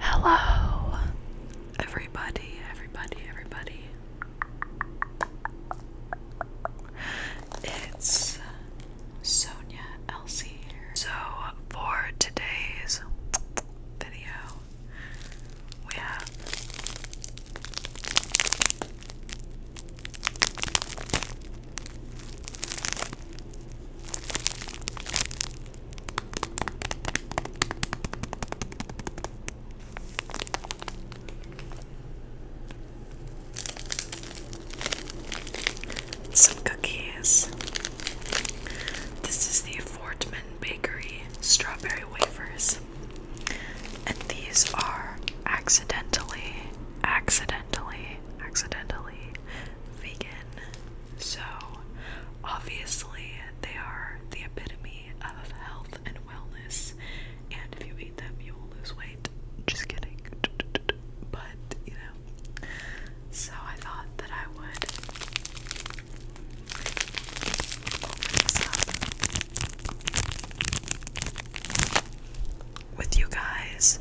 Hello, everybody, everybody, everybody. It's Sonia Elsie here. So, for today's video, we have some cookies. This is the Fortman Bakery strawberry wafers. And these are accidentally, accidentally, accidentally vegan. So obviously, they are the epitome of health and wellness. And if you eat them, you will lose weight. Just kidding. But, you know. So I thought that I would open this up with you guys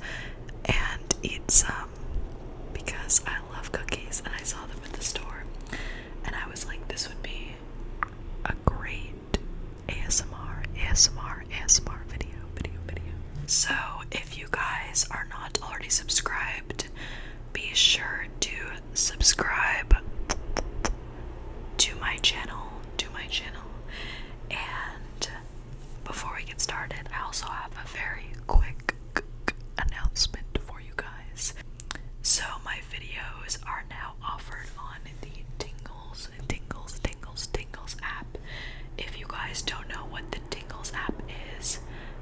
and eat some because I love cookies and I saw them at the store and I was like this would be a great ASMR ASMR ASMR video video video. So if you guys are not already subscribed be sure to subscribe to my channel, to my channel. And before we get started, I also have a very quick announcement for you guys. So my videos are now offered on the Tingles, Tingles, Tingles, Tingles app. If you guys don't know what the Tingles app is,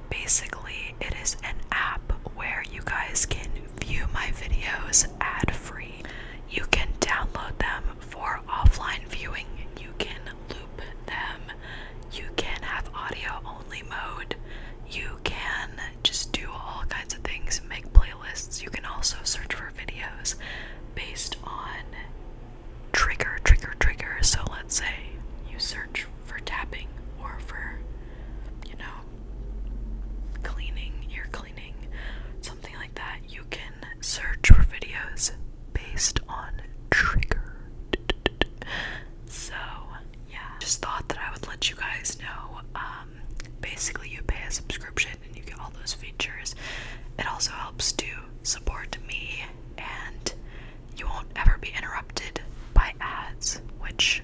basically it is an app where you guys can view my videos ad free. You can download them for offline viewing, you can loop them, you can have audio only mode, you can just do all kinds of things, make playlists. You can also search for videos based on trigger, trigger, trigger. So let's say you search for tapping or for, you know, cleaning, ear cleaning, something like that, you can search for videos based on trigger. So, yeah, just thought that I would let you guys know. Um, basically, you pay a subscription and you get all those features. It also helps to support me, and you won't ever be interrupted by ads, which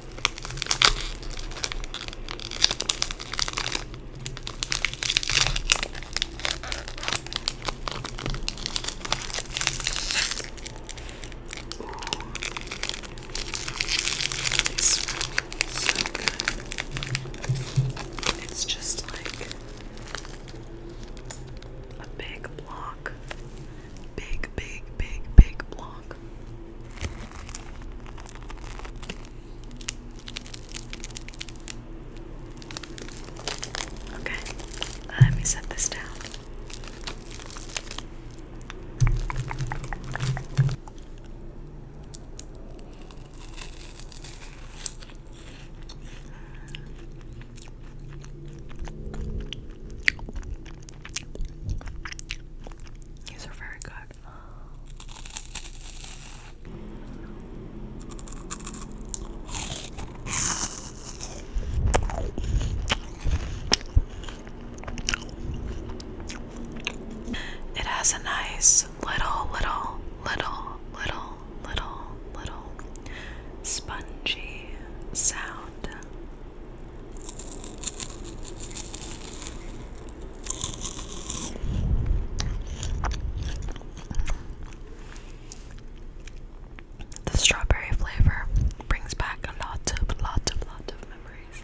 They smell It's just like a big block. Big, big, big, big block. Okay, let me set this down. These are very good. It has a nice little, little, little, little, little, little spongy sound. The strawberry flavor brings back a lot of, lot of, lot of memories.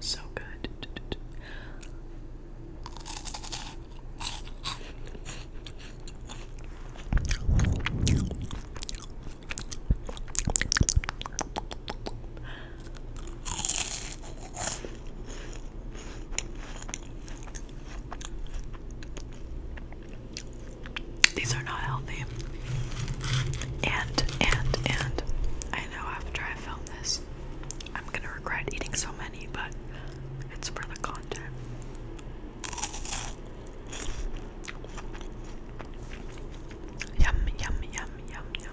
So good. These are not healthy. And, and, and I after I film this, I'm gonna regret eating so many, but it's for the content. Yum, yum, yum, yum, yum.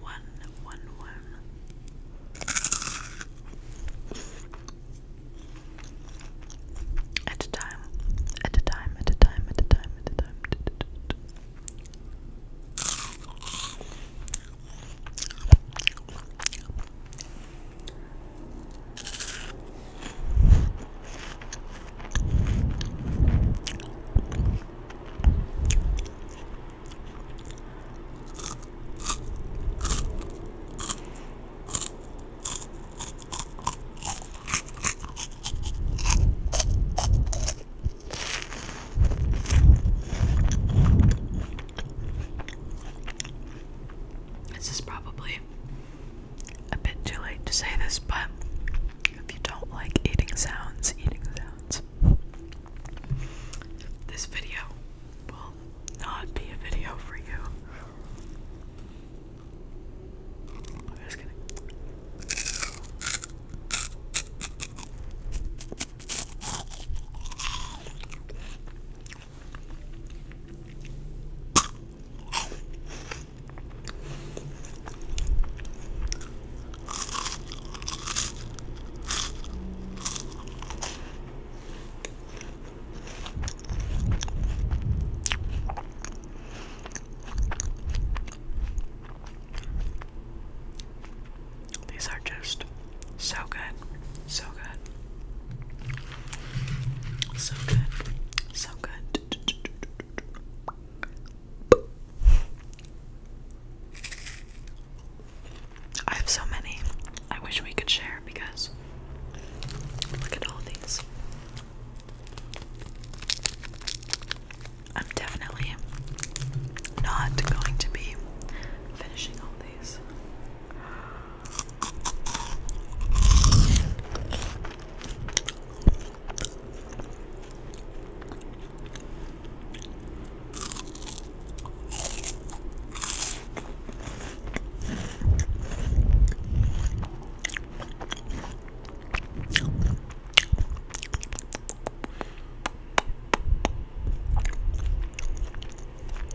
one, one, one. At a time, at a time, at a time, at a time, at a time. This is probably a bit too late to say this, but if you don't like eating sounds, eating sounds, this, video will not be a video for you. I'm just kidding. These are just so good, so good, so good, so good. I have so many. I wish we could share because look at all these. I'm definitely not going to be finishing all these.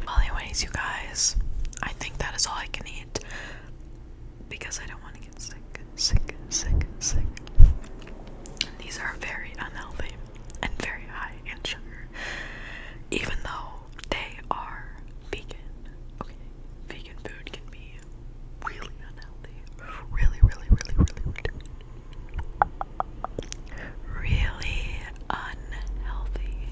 Well, anyways, you guys, I think that is all I can eat because I don't want to sick, sick, sick, sick. these are very unhealthy and very high in sugar, even though they are vegan. vegan food can be really unhealthy. really, really, really, really, really unhealthy.